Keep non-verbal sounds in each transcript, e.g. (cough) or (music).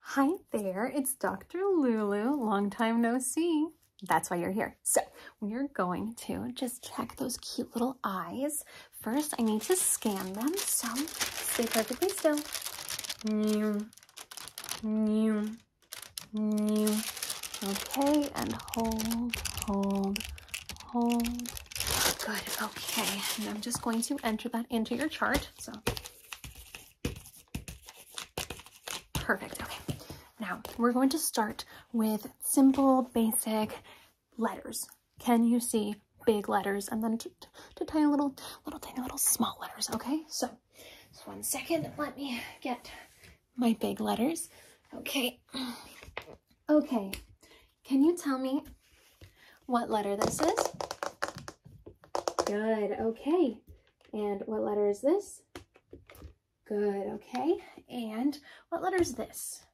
Hi there, it's Dr. Lulu. Long time no see. That's why you're here. So we're going to just check those cute little eyes. First, I need to scan them, so stay perfectly still. Okay, and hold, hold, hold. Good, okay. And I'm just going to enter that into your chart. So Perfect, okay. Now, we're going to start with simple, basic letters. Can you see big letters? And then tiny little, little tiny little small letters, okay? So, just one second, let me get my big letters. Okay. Okay. Can you tell me what letter this is? Good, okay. And what letter is this? Good, okay. And what letter is this?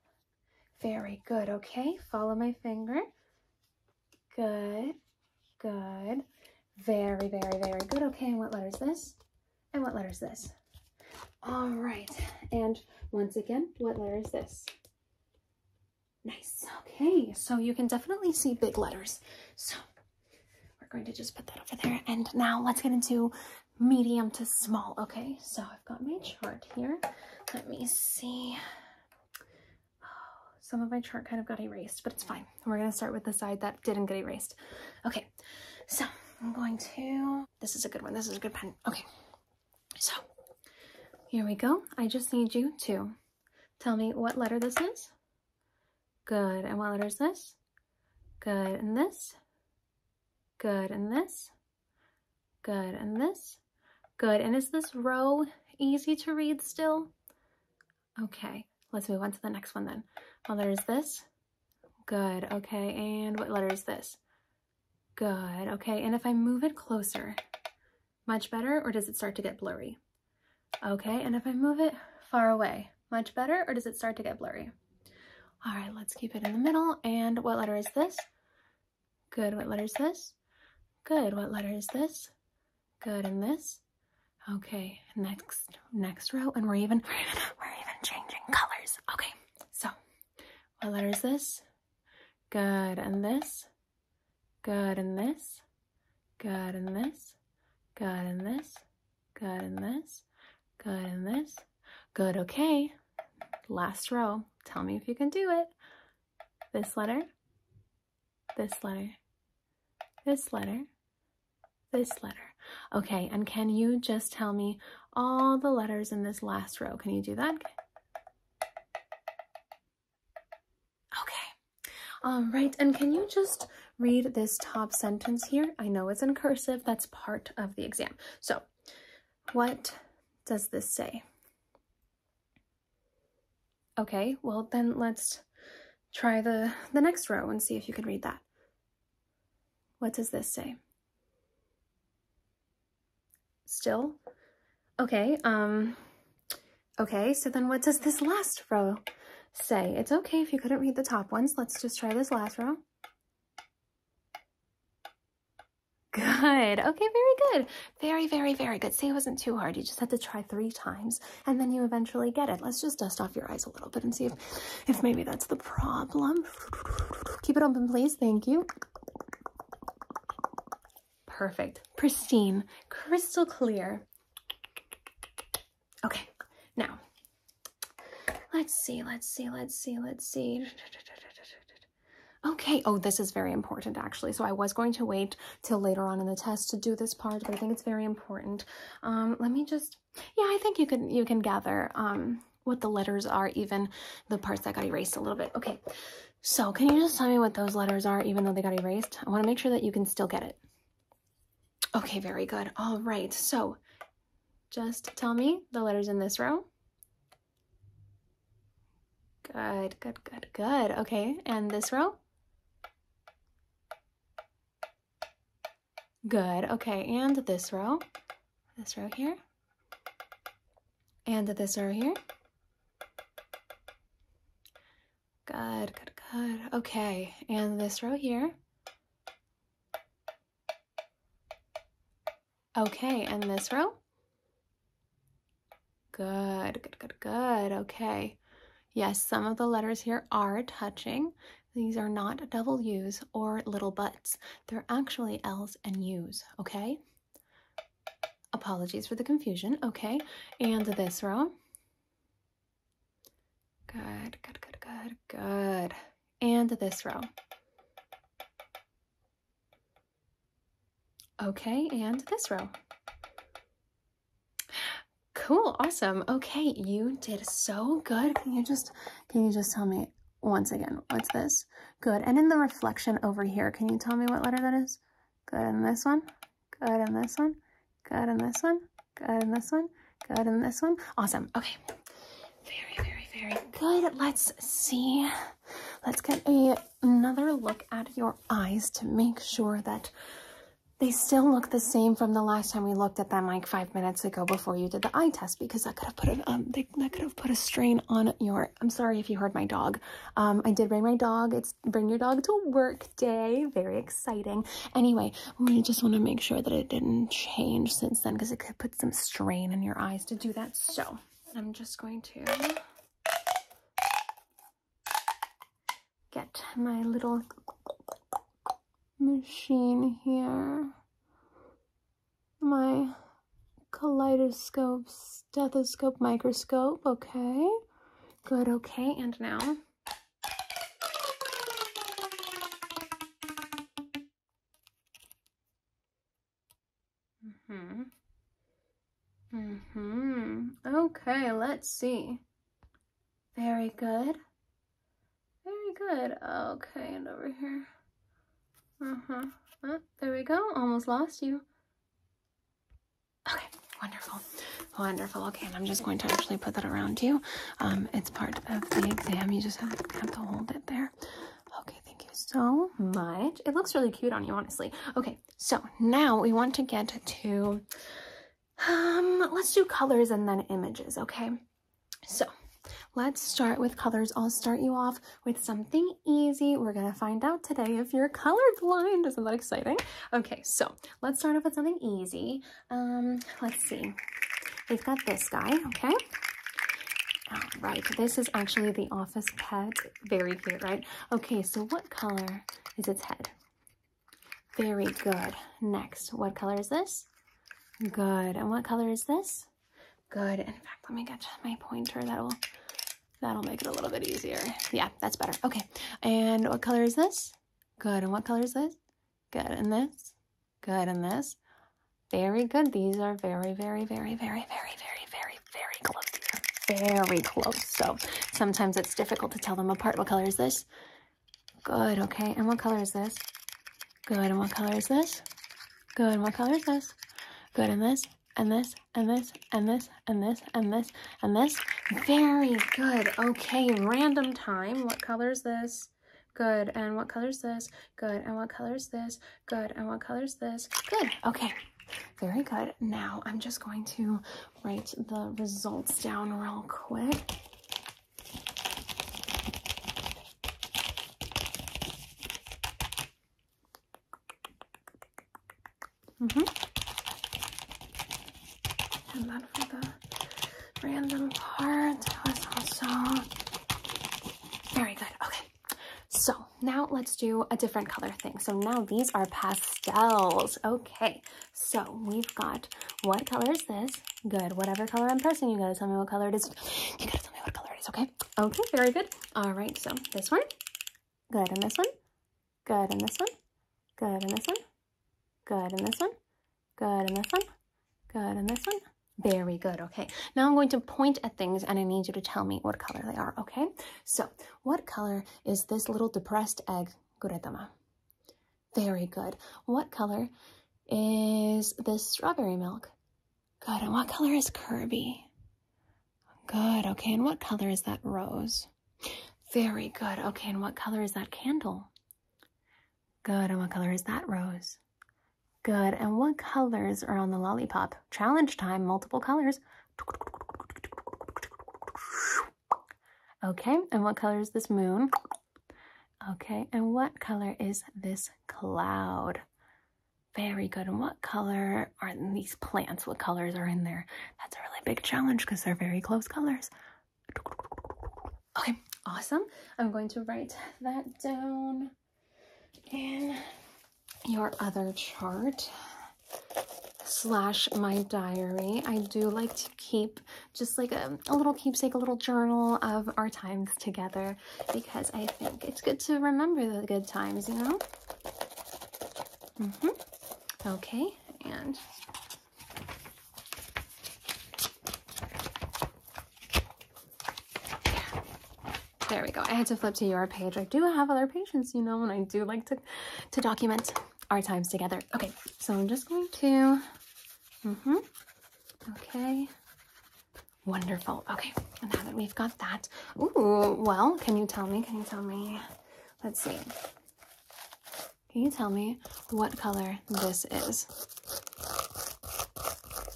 Very good, okay. Follow my finger. Good, good. Very, very, very good. Okay, and what letter is this? And what letter is this? All right, and once again, what letter is this? Nice. Okay, so you can definitely see big letters. So we're going to just put that over there. And now let's get into medium to small. Okay, so I've got my chart here. Let me see. Oh, some of my chart kind of got erased, but it's fine. We're going to start with the side that didn't get erased. Okay, so I'm going to... This is a good one. This is a good pen. Okay, so here we go. I just need you to tell me what letter this is. Good. And what letter is this? Good. And this? Good. And this? Good. And this? Good. And is this row easy to read still? Okay. Let's move on to the next one then. What letter is this? Good. Okay. And what letter is this? Good. Okay. And if I move it closer, much better, or does it start to get blurry? Okay, and if I move it far away, much better, or does it start to get blurry? All right, let's keep it in the middle. And what letter is this? Good, what letter is this? Good, what letter is this? Good, and this? Okay, next next row, and we're even, (laughs) we're even, changing colors. Okay, so what letter is this? Good, and this? Good in this. Good in this. Good in this. Good in this. Good in this. Good, okay. Last row. Tell me if you can do it. This letter. This letter. This letter. This letter. Okay, and can you just tell me all the letters in this last row? Can you do that? Okay. Um, right, and can you just read this top sentence here? I know it's in cursive, that's part of the exam. So, what does this say? Okay, well then let's try the, the next row and see if you can read that. What does this say? Still? Okay, um, Okay, so then what does this last row say? It's okay if you couldn't read the top ones. Let's just try this last row. Good. Okay, very good. Very, very, very good. See, it wasn't too hard. You just had to try three times, and then you eventually get it. Let's just dust off your eyes a little bit and see if, if maybe that's the problem. Keep it open, please. Thank you. Perfect. Pristine. Crystal clear. Okay, now let's see, let's see, let's see, let's see. Okay, oh, this is very important actually. So I was going to wait till later on in the test to do this part, but I think it's very important. Um, let me just, yeah, I think you can, you can gather um, what the letters are, even the parts that got erased a little bit. Okay, so can you just tell me what those letters are, even though they got erased? I wanna make sure that you can still get it. Okay, very good. All right, so just tell me the letters in this row. Good, good, good, good. Okay, and this row? Good, okay, and this row? This row here? And this row here? Good, good, good. Okay, and this row here. Okay, and this row. Good, good, good, good. Okay. Yes, some of the letters here are touching. These are not double U's or little buts. They're actually L's and U's, okay? Apologies for the confusion, okay? And this row. Good, good, good, good, good. And this row. Okay, and this row. Cool, awesome. Okay, you did so good. Can you just can you just tell me once again, what's this? Good. And in the reflection over here, can you tell me what letter that is? Good, and this one? Good on this one. Good on this one. Good on this one. Good on this one. Awesome. Okay. Very, very, very good. Let's see. Let's get a, another look at your eyes to make sure that they still look the same from the last time we looked at them like five minutes ago before you did the eye test because I could have put a um, that could have put a strain on your I'm sorry if you heard my dog um I did bring my dog it's bring your dog to work day. Very exciting. Anyway, we just want to make sure that it didn't change since then because it could put some strain in your eyes to do that. So I'm just going to get my little machine here. My kaleidoscope, stethoscope, microscope. Okay. Good. Okay. And now Mm-hmm. Mm-hmm. Okay, let's see. Very good. Very good. Okay, and over here. Uh-huh. Oh, there we go. Almost lost you. Okay, wonderful, wonderful. Okay, and I'm just going to actually put that around you. Um, it's part of the exam. You just have, to hold it there. Okay, thank you so much. It looks really cute on you, honestly. Okay, so now we want to get to, um, let's do colors and then images, okay? So Let's start with colors. I'll start you off with something easy. We're gonna find out today if you're color blind. Isn't that exciting? Okay, so let's start off with something easy. Um, let's see. We've got this guy, okay? All right, this is actually the office pet. Very good. right? Okay, so what color is its head? Very good. Next, what color is this? Good. And what color is this? Good. In fact, let me get my pointer. That'll that'll make it a little bit easier. Yeah, that's better. Okay. And what color is this? Good. And what color is this? Good. And this? Good. And this? Very good. These are very, very, very, very, very, very, very, very close. These are very close. So sometimes it's difficult to tell them apart. What color is this? Good. Okay. And what color is this? Good. And what color is this? Good. And what color is this? Good. And this? And this? And this? And this? And this? And this? and this. Very good. Okay, random time. What color is this? Good. And what color is this? Good. And what color is this? Good. And what color is this? Good. Okay. Very good. Now I'm just going to write the results down real quick. Mm -hmm. And then for the random part, it was also very good. Okay. So now let's do a different color thing. So now these are pastels. Okay. So we've got what color is this? Good. Whatever color I'm pressing, you gotta tell me what color it is. You gotta tell me what color it is, okay? Okay, very good. All right, so this one. Good. And this one? Good. in this one. Good. in this one. Good. in this one. Good. in this one. Good. in this one. Very good. Okay. Now I'm going to point at things and I need you to tell me what color they are. Okay. So what color is this little depressed egg guretama? Very good. What color is this strawberry milk? Good. And what color is Kirby? Good. Okay. And what color is that rose? Very good. Okay. And what color is that candle? Good. And what color is that rose? Good. And what colors are on the lollipop? Challenge time, multiple colors. Okay. And what color is this moon? Okay. And what color is this cloud? Very good. And what color are these plants? What colors are in there? That's a really big challenge because they're very close colors. Okay, awesome. I'm going to write that down in your other chart slash my diary. I do like to keep just like a, a, little keepsake, a little journal of our times together because I think it's good to remember the good times, you know? Mm-hmm. Okay, and there we go. I had to flip to your page. I do have other patients, you know, and I do like to, to document our times together. Okay, so I'm just going to, mm-hmm, okay, wonderful. Okay, now that we've got that, ooh, well, can you tell me, can you tell me, let's see, can you tell me what color this is?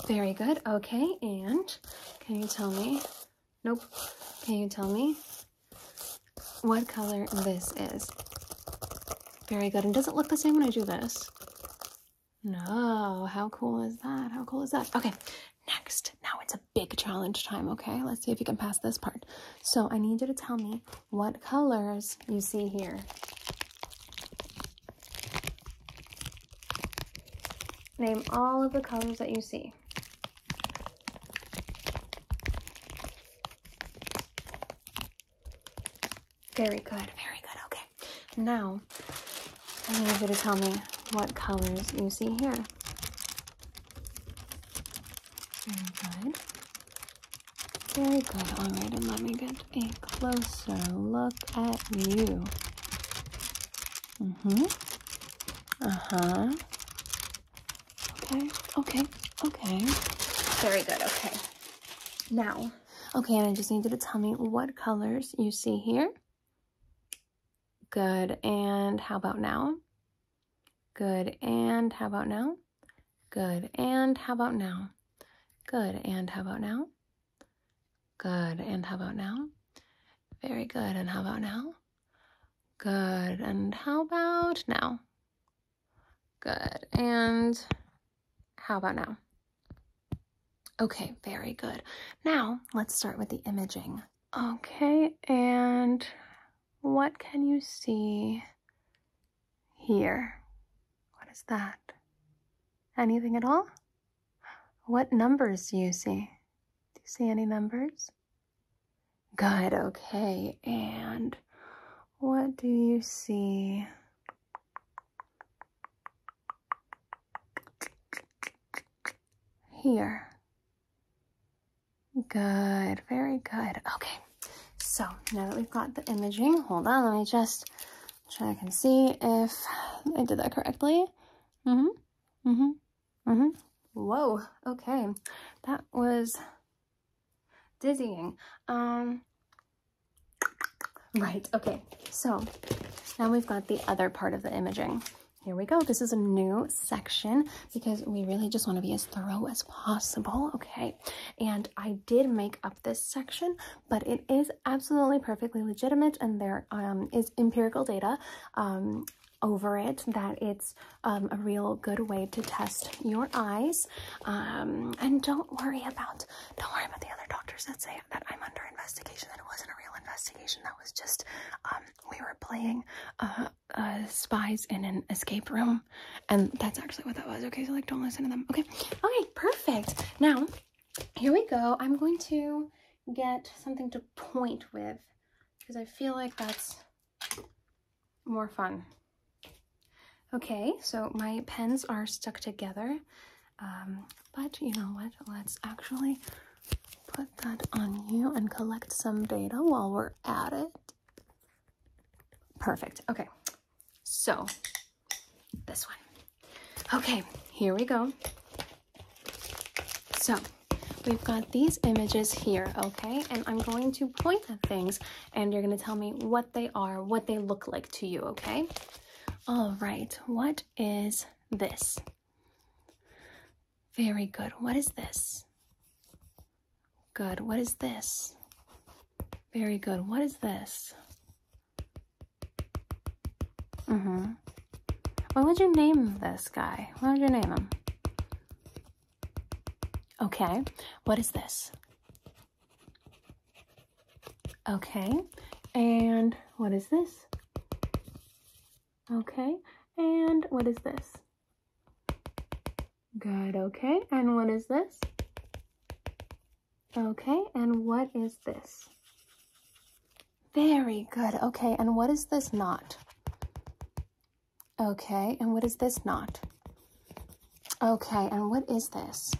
Very good. Okay, and can you tell me? Nope. Can you tell me what color this is? Very good. And does it look the same when I do this? No. How cool is that? How cool is that? Okay, next. Now it's a big challenge time, okay? Let's see if you can pass this part. So I need you to tell me what colors you see here. Name all of the colors that you see. Very good, very good, okay. Now, I need you to tell me what colors you see here. Very good. Very good. All right, and let me get a closer look at you. Mm-hmm. Uh-huh. Okay, okay, okay. Very good, okay. Now, okay, and I just need you to tell me what colors you see here. Good, and how about now? Good. And how about now? Good. And how about now? Good. And how about now? Good. And how about now? Very good. And how about now? Good. And how about now? Good. And how about now? Okay, very good. Now, let's start with the imaging. Okay, and what can you see here. What is that? Anything at all? What numbers do you see? Do you see any numbers? Good, okay. And what do you see? Here. Good, very good. Okay so now that we've got the imaging, hold on, let me just check and see if I did that correctly. Mm-hmm, mm-hmm, mm-hmm. Whoa, okay, that was dizzying. Um, right, okay, so now we've got the other part of the imaging. Here we go. This is a new section because we really just want to be as thorough as possible, okay? And I did make up this section, but it is absolutely perfectly legitimate and there um, is empirical data um, over it that it's um, a real good way to test your eyes and don't worry about don't worry about the other doctors that say that I'm under investigation that it wasn't a real investigation that was just we were playing uh, uh, spies in an escape room and that's actually what that was. Okay, so like don't listen to them. Okay. Okay, perfect. Now, here we go. I'm going to get something to point with because I feel like that's more fun. Okay, so my pens are stuck together, um, but you know what? Let's actually put that on you and collect some data while we're at it. Perfect. Okay. So this one. Okay, here we go. So we've got these images here, okay? And I'm going to point at things and you're going to tell me what they are, what they look like to you, okay? All right, what is this? Very good. What is this? Good. What is this? Very good. What is this? Mm-hmm. What would you name this guy? What would you name him? Okay. What is this? Okay. And what is this? Okay. And what is this? Good, okay. And what is this? Okay, and what is this? Very good. Okay, and what is this not? Okay, and what is this not? Okay, and what is this?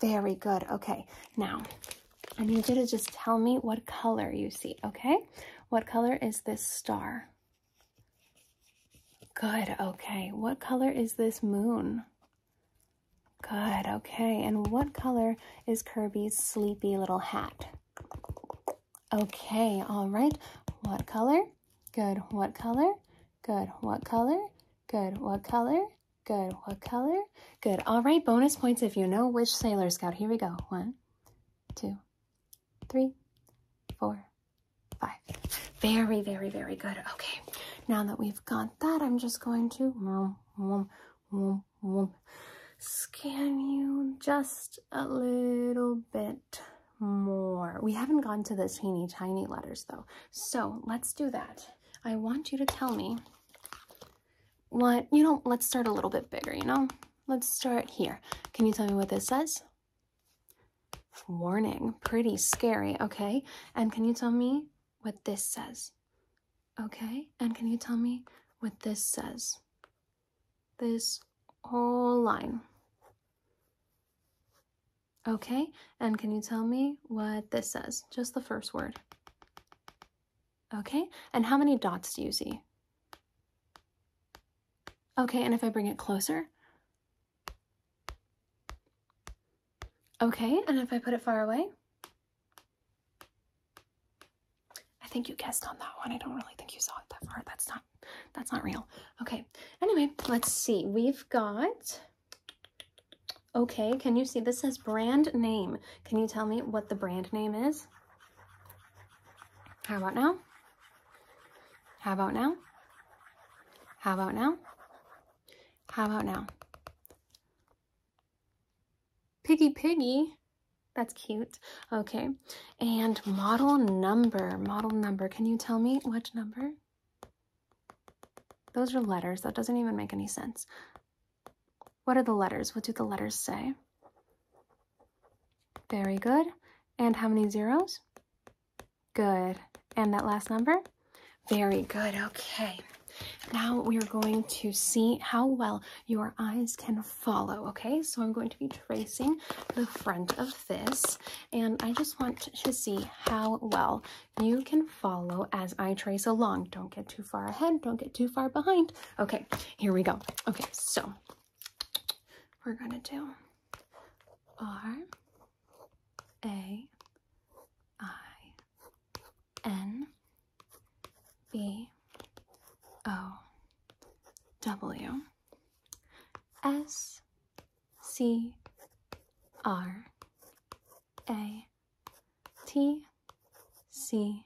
Very good. Okay, now I need you to just tell me what color you see, okay? What color is this star? Good, okay. What color is this moon? Good, okay. And what color is Kirby's sleepy little hat? Okay, all right. What color? Good, what color? Good, what color? Good, what color? Good, what color? Good. All right, bonus points if you know which Sailor Scout. Here we go. One, two, three, four, Five. Very, very, very good. Okay. Now that we've got that, I'm just going to scan you just a little bit more. We haven't gone to the teeny tiny letters though. So let's do that. I want you to tell me what, you know, let's start a little bit bigger, you know? Let's start here. Can you tell me what this says? Warning, pretty scary, okay? And can you tell me what this says? Okay? And can you tell me what this says? This whole line. Okay, and can you tell me what this says? Just the first word. Okay, and how many dots do you see? Okay, and if I bring it closer? Okay, and if I put it far away? I think you guessed on that one. I don't really think you saw it that far. That's not that's not real. Okay. Anyway, let's see. We've got Okay, can you see this says brand name? Can you tell me what the brand name is? How about now? How about now? How about now? How about now? Piggy Piggy. That's cute. Okay. And model number. Model number. Can you tell me which number? Those are letters. That doesn't even make any sense. What are the letters? What do the letters say? Very good. And how many zeros? Good. And that last number? Very good. Okay. Now we are going to see how well your eyes can follow, okay? So I'm going to be tracing the front of this, and I just want to see how well you can follow as I trace along. Don't get too far ahead, don't get too far behind. Okay, here we go. Okay, so we're gonna do R, a I N B O W S C R A T C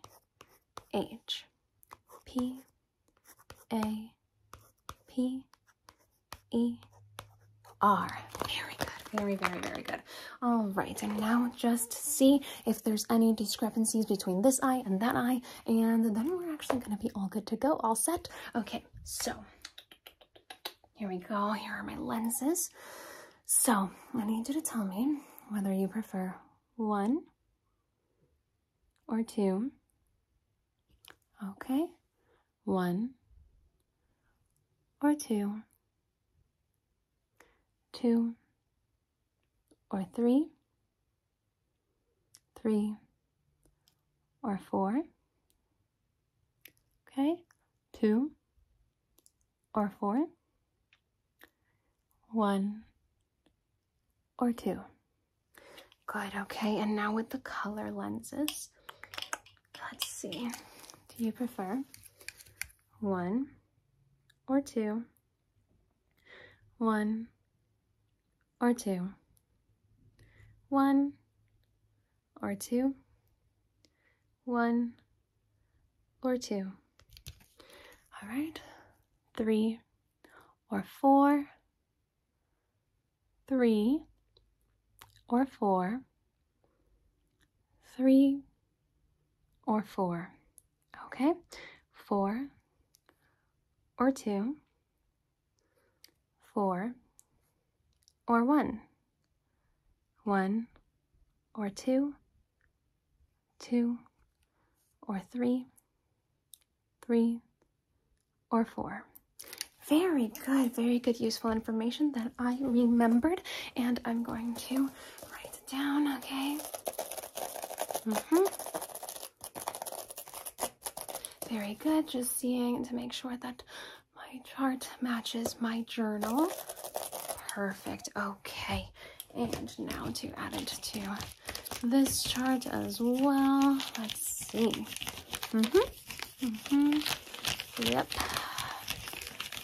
H P A P E R. Very good. Very, very, very good. All right. And now just see if there's any discrepancies between this eye and that eye. And then we're actually going to be all good to go. All set. Okay. So here we go. Here are my lenses. So I need you to tell me whether you prefer one or two Okay, one or two, two or three, three or four. Okay, two or four, one or two. Good, okay, and now with the color lenses, Let's see. Do you prefer one or two? One or two? One or two? One or two? All right. Three or four? three or four, three or four. Okay, four or two, four or one, one or two, two or three, three or four. Very good, very good, useful information that I remembered, and I'm going to write down, okay? hmm Very good, just seeing to make sure that my chart matches my journal. Perfect, okay. And now to add it to this chart as well. Let's see. hmm Mm -hmm. Yep.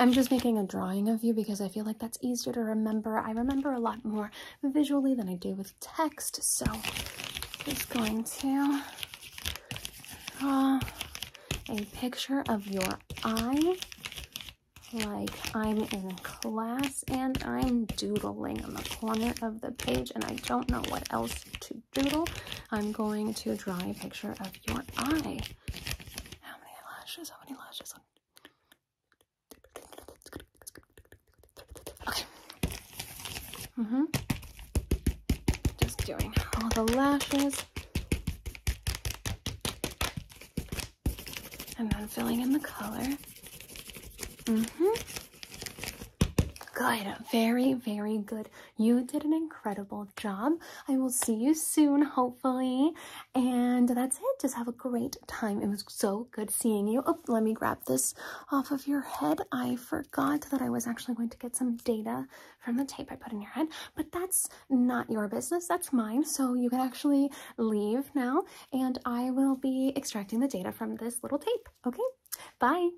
I'm just making a drawing of you because I feel like that's easier to remember. I remember a lot more visually than I do with text, so just going to draw a picture of your eye like I'm in class and I'm doodling in the corner of the page and I don't know what else to doodle, I'm going to draw a picture of your eye. How many lashes? How many lashes? Okay. Mm hmm Just doing all the lashes. And then filling in the color. Mm hmm Good. Very, very good. You did an incredible job. I will see you soon, hopefully. And that's it. Just have a great time. It was so good seeing you. Oh, let me grab this off of your head. I forgot that I was actually going to get some data from the tape I put in your head, but that's not your business. That's mine. So you can actually leave now and I will be extracting the data from this little tape. Okay. Bye.